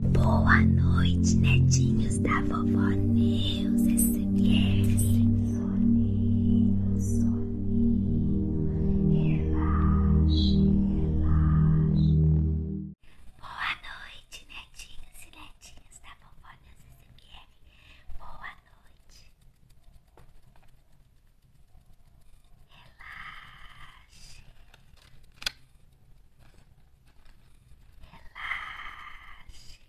Boa noite, netinhos da vovó Neus SMR. É soninho, soninho, relaxe, relaxe. Boa noite, netinhos e netinhas da vovó Neus SMR. É Boa noite. Relaxe. Relaxe.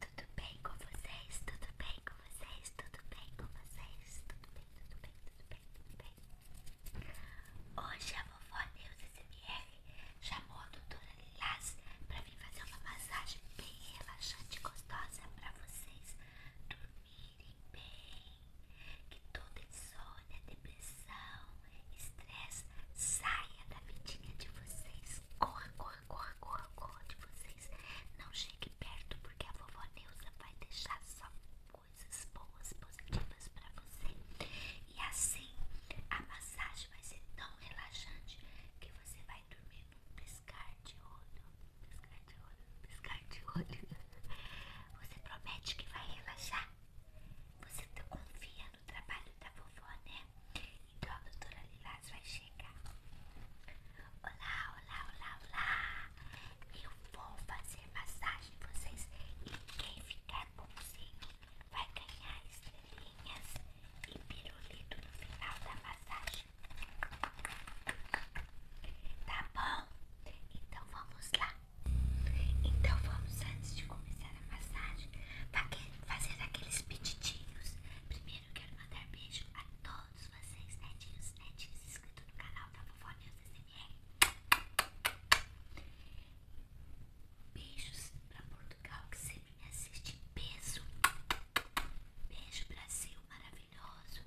Tudo bem com vocês? Tudo bem com vocês? Tudo bem com vocês? Tudo bem, tudo bem, tudo bem, tudo bem. Hoje a vovó Neuza SMR chamou a doutora Lilás para vir fazer uma massagem bem relaxante e gostosa para vocês dormirem bem que toda insônia, é depressão, estresse saia da vidinha de vocês. Corra, corra, corra, corra, corra de vocês. Não chegue perto porque a vovó Neuza vai deixar só coisas boas, positivas para você. E assim a massagem vai ser tão relaxante que você vai dormir num piscar de olho. Piscar de olho, piscar de olho. Você promete que vai relaxar? Você tá confia no trabalho da vovó, né? Então a doutora Lilás vai chegar. Olá, olá, olá, olá. Eu vou fazer massagem em vocês e quem ficar bonzinho vai ganhar estrelinhas e pirulito no final da massagem. Tá bom? Então vamos lá. Então vamos, antes de começar a massagem, fazer aqueles pedidinhos. Primeiro quero mandar beijo a todos vocês, netinhos, é netinhos, é inscritos no canal da Vovó News SMR. Beijos pra Portugal que sempre me assiste em peso. Beijo Brasil maravilhoso.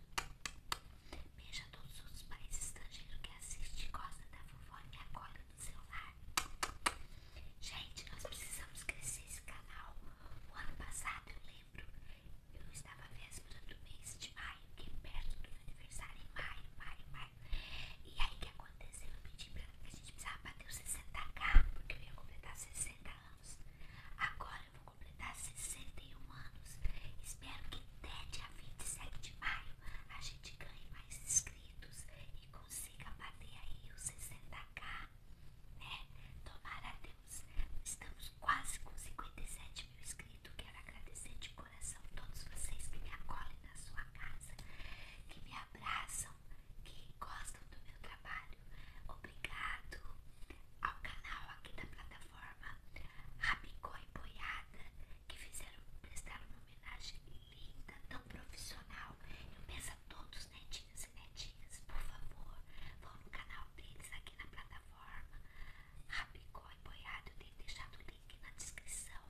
Beija todos os países estrangeiros que assistem, gosta da vovó e acolhe no seu lar. Gente, nós precisamos crescer esse canal. O ano passado, eu lembro, eu estava véspera do mês de maio, que é perto do meu aniversário, em maio, maio, maio. E aí, o que aconteceu? Eu pedi pra que a gente precisava bater os 60k, porque eu ia completar 60 anos. Agora eu vou completar 61 anos. Espero que dê dia 27 de maio a gente ganhe mais inscritos e consiga bater aí os 60k, né? Tomara a Deus. Estamos quase com 57 mil inscritos. Quero agradecer de coração a todos vocês que me acolhem na sua casa, que me abraçam, que gostam do meu trabalho. Obrigado ao canal aqui da plataforma Rabicó e Boiá que fizeram prestaram uma homenagem linda, tão profissional. Eu peço a todos, netinhos e netinhas, por favor, vão no canal deles aqui na plataforma Rabicó e Boiado. Eu tenho deixado o link na descrição.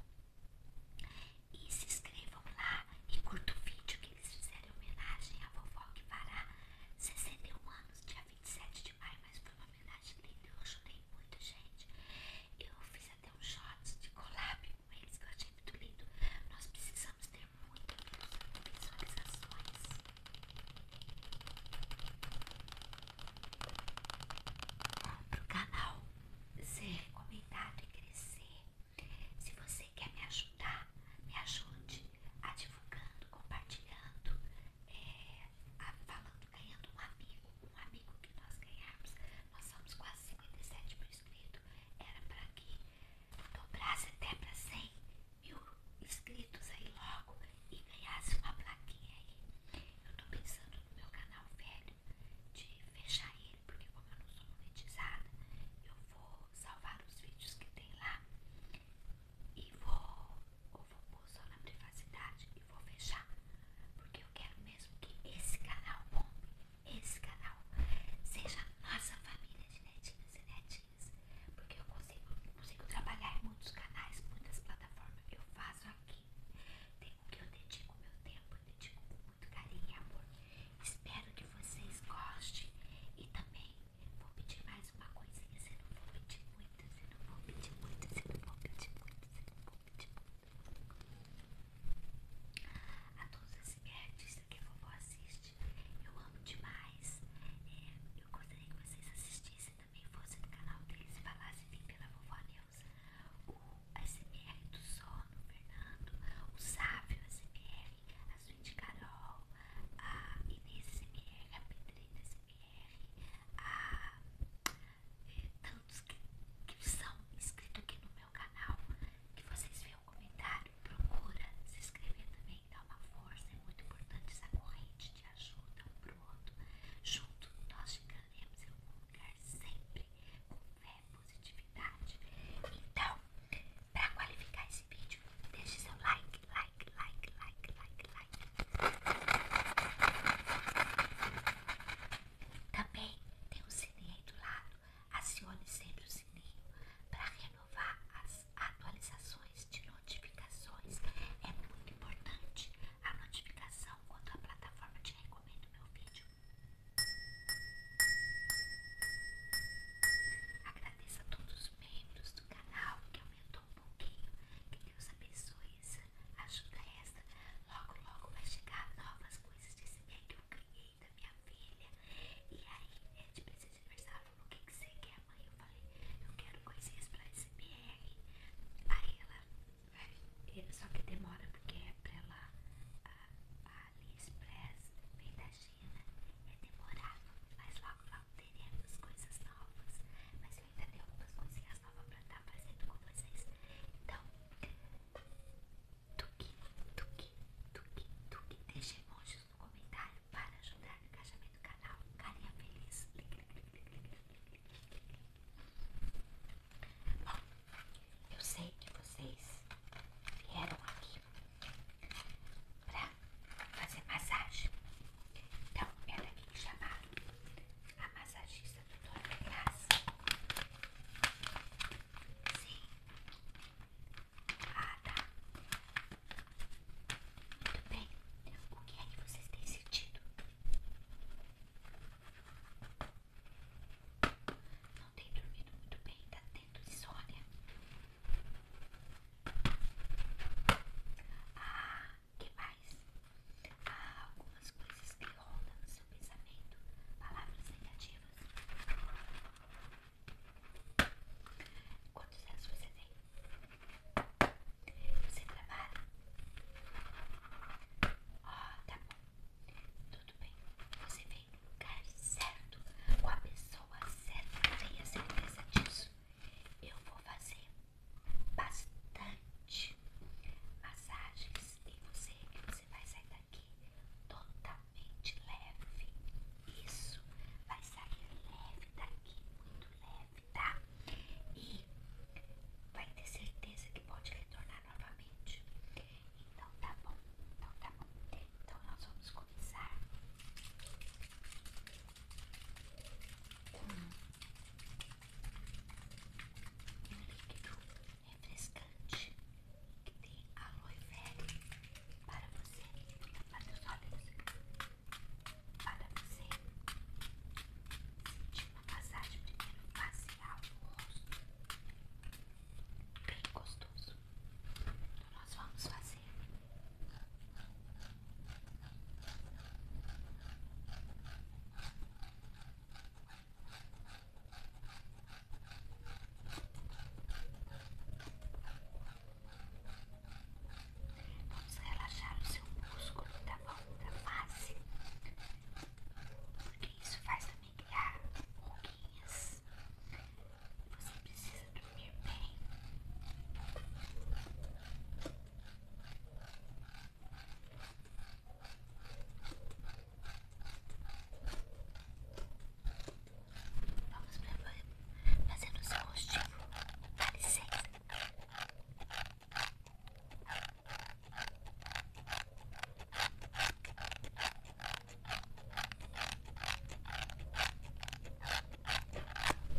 E se inscrevam lá e curtam o vídeo que eles fizeram em homenagem à vovó que fará 61 anos, dia 27 de maio, mas foi uma homenagem linda. Eu chorei muito, gente. Eu fiz até um shot de collab com eles que eu achei muito lindo. Nós precisamos ter muitas visualizações. Para o canal ser recomendado e crescer, se você quer me ajudar, me ajude a divulgando, compartilhando, é, falando, ganhando um amigo, um amigo que nós ganhamos nós somos quase 57 mil inscritos, era para que dobrasse até para 100 mil inscritos aí logo e ganhasse uma plaquinha aí. Eu tô pensando no meu canal velho de fechar ele, porque como eu não sou monetizada, eu vou salvar os vídeos que tem lá e vou vou pôr na privacidade e vou fechar, porque eu quero mesmo que esse canal bombe, esse canal seja nossa família de netinhos e netinhas, porque eu consigo, consigo trabalhar em muitos canais, muitas plataformas, eu faço aqui, tenho que eu dedico meu tempo, eu dedico com muito carinho e amor, espero que vocês gostem e também vou pedir mais uma coisinha, se não vou pedir muito, a todos os artistas que a vovó assiste, eu amo demais. eu gostaria que vocês assistissem também, fossem no canal deles, falassem bem pela vovó Neuza. O SMR do Sono, Fernando, o Sávio SMR, a Suíte Carol, a Inês SMR, a Pedrita SMR a é, é, tantos que, que são inscritos aqui no meu canal, que vocês vejam o comentário, procura se inscrever também, dá uma força, é muito importante essa corrente de ajuda um pro outro. Junto nós chegaremos em algum lugar sempre com fé positividade. Então, para qualificar esse vídeo, deixe seu like, like, like, like, like. Também tem o sininho aí do lado. Acione sempre o sininho para renovar as atualizações de notificações. É muito importante a notificação quando a plataforma te recomenda o meu vídeo. Agradeço a todos os membros do canal que aumentou um pouquinho que Deus abençoe essa, ajuda esta Logo, logo vai chegar novas coisas de bem que eu criei da minha filha. E aí, é de presente de aniversário, falou: O que, que você quer, mãe? Eu falei: Eu quero coisinhas pra SMR. Aí ela, é, só que demora porque é pra ela. A, a AliExpress vem da China, é demorado, mas logo teremos coisas novas, mas eu ainda tenho algumas coisas novas pra estar fazendo com vocês. Então, tuque, tuque, tuque, tuque, deixe emojis no comentário para ajudar no engajamento do canal. Carinha feliz. Bom, eu sei que vocês vieram aqui pra fazer massagem. Então, ela me é chamaram a massagista doutora Graça. Sim. Ah, tá. Muito bem. O que é que vocês têm sentido? Não tem dormido muito bem, tá tendo insônia. Ah, que mais? Há algumas coisas que rodam no seu pensamento, palavras negativas. Quantos anos você tem? Você trabalha? Ó, tá bom. Tudo bem. Você veio no lugar certo, com a pessoa certa. Tenha certeza disso. Eu vou fazer bastante massagens e você, você vai sair daqui totalmente leve. Isso vai sair leve daqui, muito leve, tá? E vai ter certeza que pode retornar novamente. Então tá bom, então tá bom. Então nós vamos começar com um líquido refrescante que tem aloe vera para você, para os olhos, para você sentir uma massagem primeiro facial no rosto, bem gostoso. Então nós vamos fazer Vamos relaxar o seu músculo da mão da face, porque isso faz também criar ruguinhas. Você precisa dormir bem. Vamos fazer no seu rostinho. Dá licença.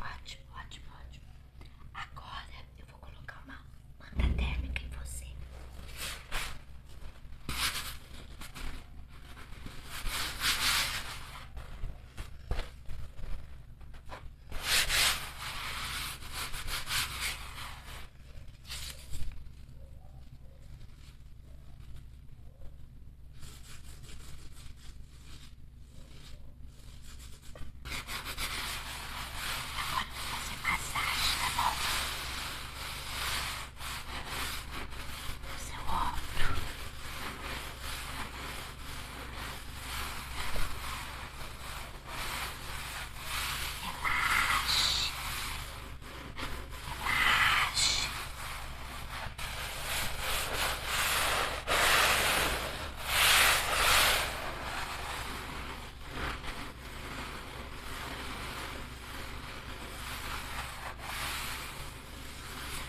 Ótimo, ótimo, ótimo. Agora eu vou colocar uma manta térmica em você. Agora vou fazer massagem, tá bom? No seu ombro. Relaxe. Relaxe. Relaxe.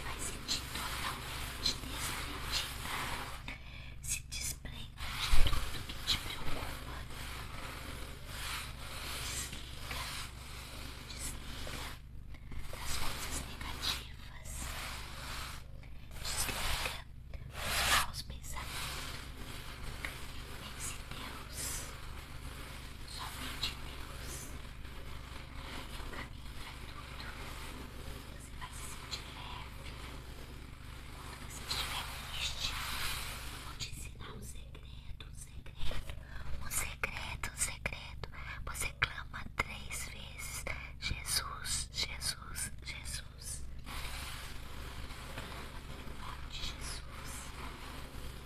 Vai sentir totalmente desprendida. Se desprenda de tudo que te preocupa. Desliga, desliga das coisas negativas desliga os maus pensamentos. Pense Deus, somente Deus. Ele é o caminho para tudo. Você vai se sentir leve. Quando você estiver triste, vou te ensinar um segredo, um segredo, um segredo, um segredo. Você clama três vezes vezes. Jesus, Jesus, Jesus. Forte Jesus.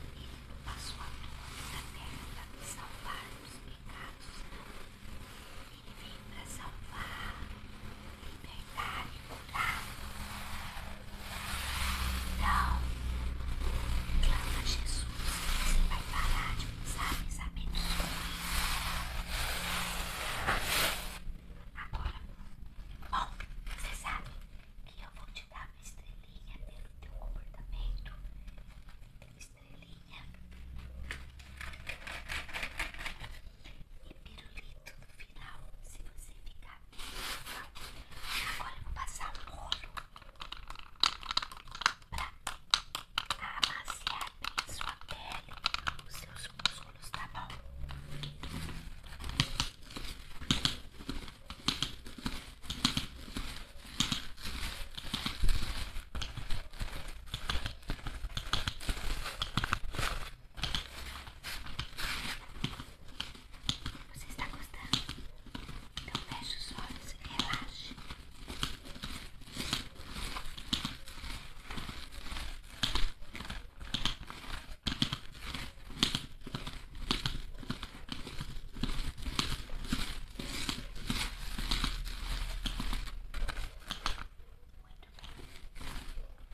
Ele passou a dor da terra para me salvar dos pecados. Ele veio para salvar, libertar e curar. Então, clama Jesus. Você vai parar de pensar pensamentos ruins. Agora, bom, você sabe que eu vou te dar uma estrelinha pelo teu comportamento. Estrelinha e pirulito no final, se você ficar bem legal. Agora eu vou passar um rolo pra amaciar bem a sua pele, os seus músculos, tá bom? Você está gostando? Então feche os olhos e relaxe.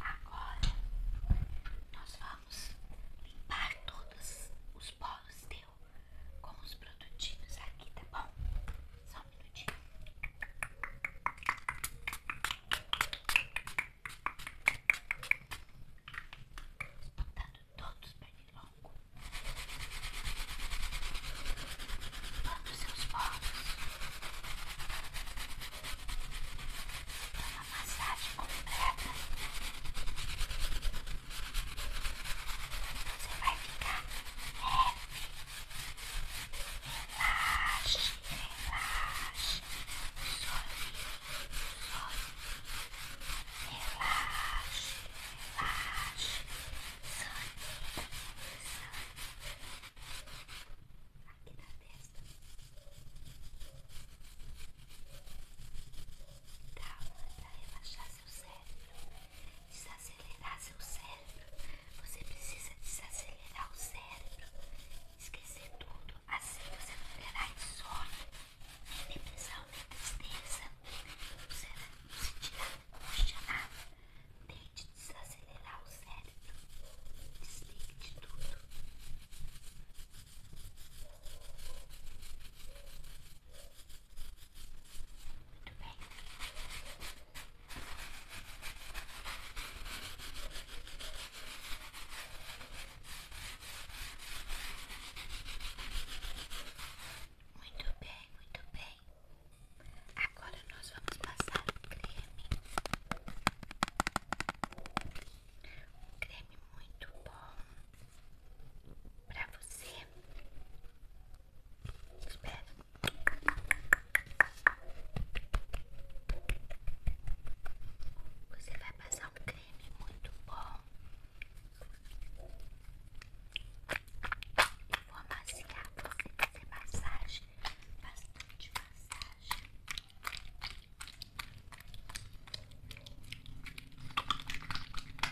Agora nós vamos limpar todos os poros dele com os produtinhos aqui, tá bom? Só um minutinho. Botando todos pernilongo. Limpando seus poros. Dá uma massagem completa. Você vai ficar leve. Relaxe, relaxe. Sorri, sorri. Relaxe, relaxe. Sorri, sorri. Aqui na testa. Calma, para relaxar seu cérebro desacelerar seu cérebro. Você precisa desacelerar o cérebro, esquecer tudo. Assim você não terá insônia, nem depressão, nem tristeza. Você não sentirá angústia, nada. Tente desacelerar o cérebro. Desligue de tudo. Muito bem. Muito bem, Agora nós vamos passar um creme. creme muito bom para você você vai passar um creme muito bom. Eu vou amaciar você, fazer massagem, bastante massagem. Vou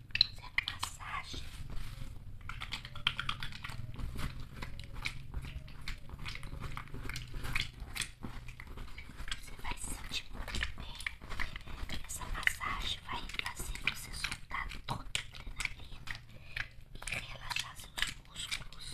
fazendo massagem. Você vai sentir muito bem. Essa massagem vai fazer você soltar toda a adrenalina e relaxar seus músculos.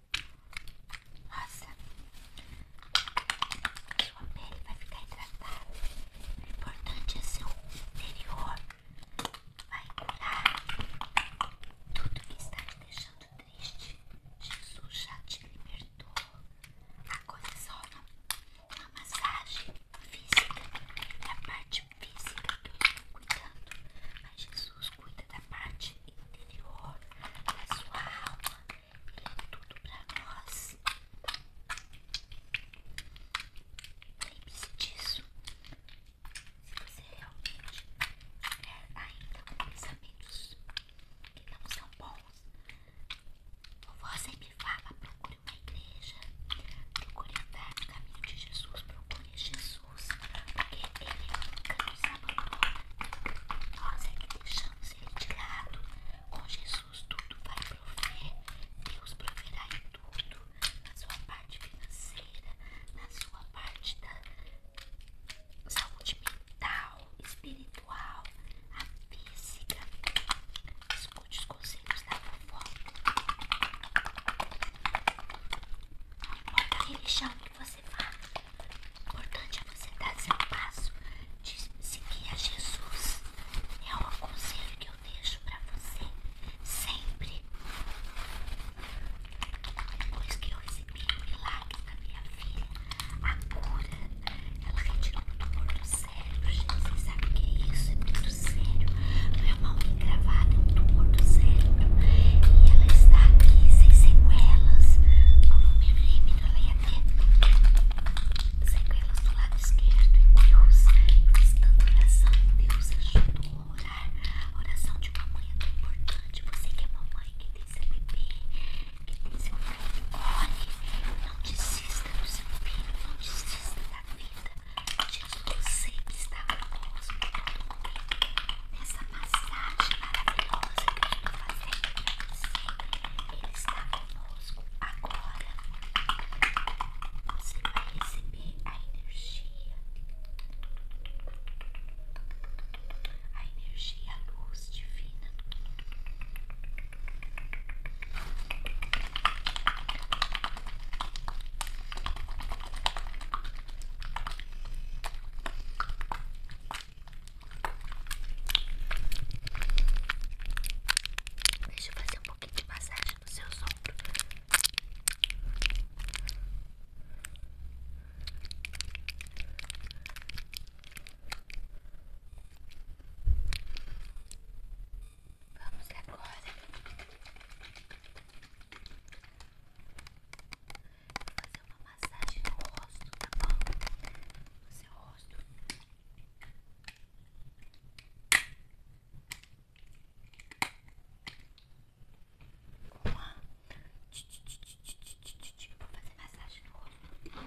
Nossa, sua pele vai ficar hidratada. O importante é seu interior. Vai curar tudo que está te deixando triste. Jesus já te libertou. Agora é só uma, massagem física. É a parte física que eu estou cuidando. Jesus cuida da parte interior da sua alma. Ele é tudo pra nós. Lembre-se disso. Se você realmente é ainda com pensamentos que não são bons, você me fala: procure uma igreja, procure andar no caminho de Jesus, procure Jesus porque ele nunca nos abandona. Nós é que deixamos ele de Com Jesus tudo vai prover. Deus proverá em tudo. Na sua parte financeira, na sua parte da saúde mental, espiritual, a física. Escute os conselhos da vovó importa a religião que você vá, o importante é você dar seu passo de seguir a Jesus. É um aconselho que eu deixo para você sempre. Depois que eu recebi o milagre da minha filha, a cura, ela retirou muito tumor do cérebro. vocês sabem o que é isso? É muito sério minha mão em um tumor do cérebro e ela está aqui sem sequelas. Ao meu límite, ela ia ter sequelas do lado esquerdo. E Deus, eu fiz tanta oração. Deus ajudou a orar. A oração de uma mãe é tão importante. Você que é mamãe, que tem seu bebê, que tem seu filho, olhe, não desista do seu filho, não desista da vida. Você está famoso por todo momento. Nessa massagem maravilhosa que eu estou fazendo sempre, ele está conosco. Agora você vai receber a energia, a energia, a luz divina. Deixa eu fazer um pouquinho de massagem nos seus ombros. Vamos agora Vou fazer uma massagem no rosto, tá bom? No seu rosto. Uma. Eu vou fazer massagem no rosto. Vou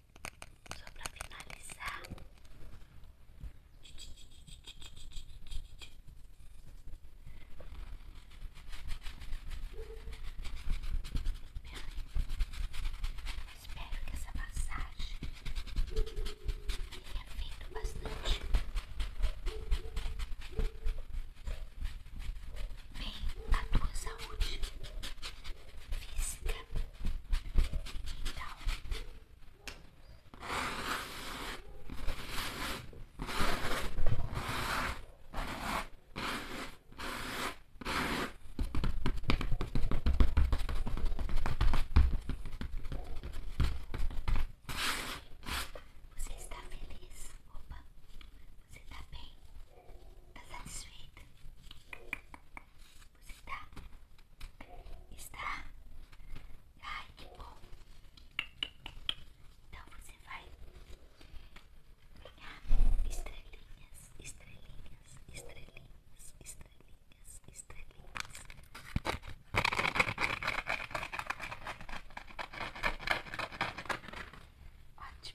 Só pra finalizar. Espero que essa massagem tenha feito bastante bem a tua saúde física. Então, você está feliz? Opa, você está bem? Tá satisfeita? Você tá? Está? Ai, que bom! Então você vai ganhar estrelinhas, estrelinhas, estrelinhas, estrelinhas, estrelinhas. Ótimo!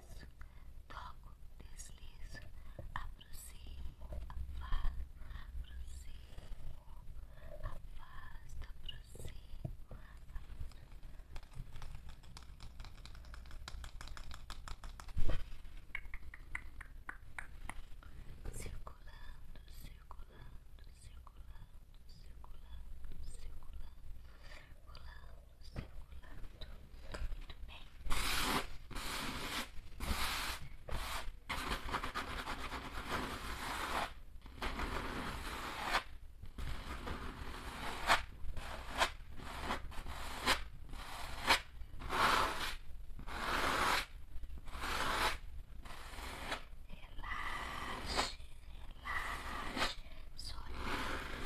deslizo, toco, deslizo, aproximo, afasto, aproximo, afasto, aproximo, afasto. Circulando, circulando, circulando, circulando, circulando, circulando, circulando muito, muito bem. Relaxe, relaxe, soninho, soninho.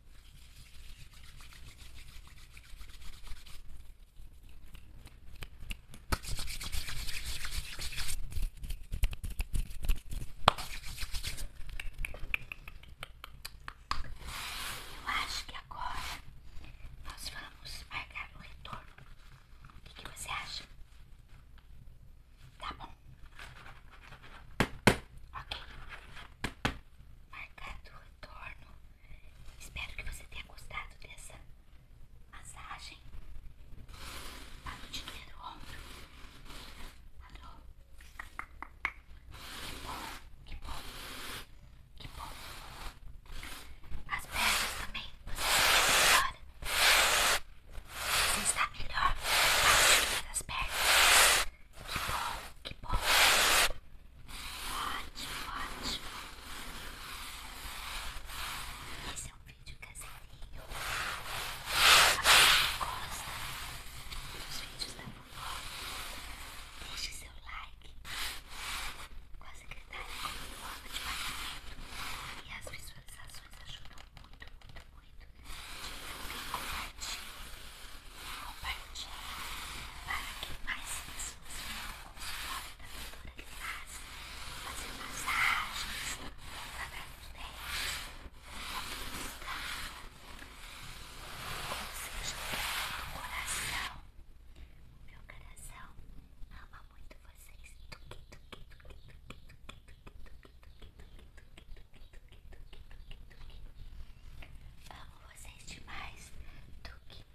Eu acho que agora nós vamos marcar o retorno. O que, você acha? Tá bom. Ok marcado o retorno. Espero que você tenha gostado dessa massagem. Paludinha do ombro. Alô? Que bom, que bom, que bom. As pernas também. Você está melhor. Você está melhor. A parte das pernas. Que bom, que bom. Ótimo, ótimo. Esse é um vídeo caseirinho. A quem gosta dos vídeos da vovó, deixe seu like. Tá com a secretária como forma de pagamento. E as visualizações ajudam muito, muito, muito. Divulguem, compartilhem compartilhar para que mais pessoas conheçam o nome da pintura que faz, fazer massagens, lavar os dentes, conquista, ou seja, coração. meu coração ama muito vocês. Amo vocês demais. Tuque,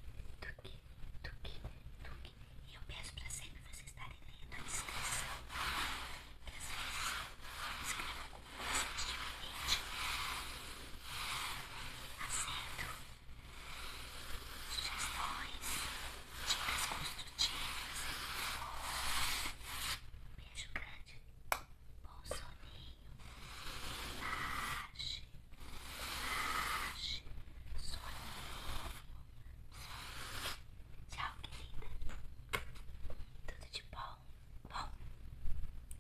tuque, tuque, tuque. E eu peço pra sempre vocês estarem lendo a descrição. Que às vezes eu escrevo como vocês diferentes, Aceito sugestões, dicas construtivas. É Beijo grande bom soninho. Relaxe, relaxe, soninho, soninho. Tchau, querida. Tudo de bom? Bom,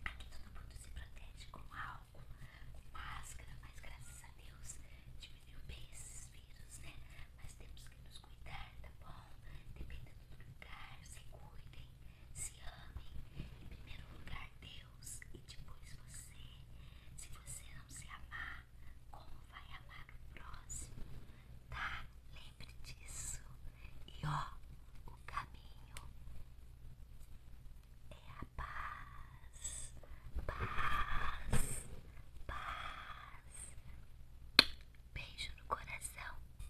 aqui todo mundo se protege com álcool, com máscara, mas graças a Deus diminuiu bem esses vírus, né? Mas temos que nos cuidar, tá bom? Dependendo do lugar, se cuidem se ame Em primeiro lugar, Deus e depois você. Se você não se amar, como vai amar o próximo? Tá? Lembre disso. E ó, o caminho é a paz. Paz. Paz. Beijo no coração.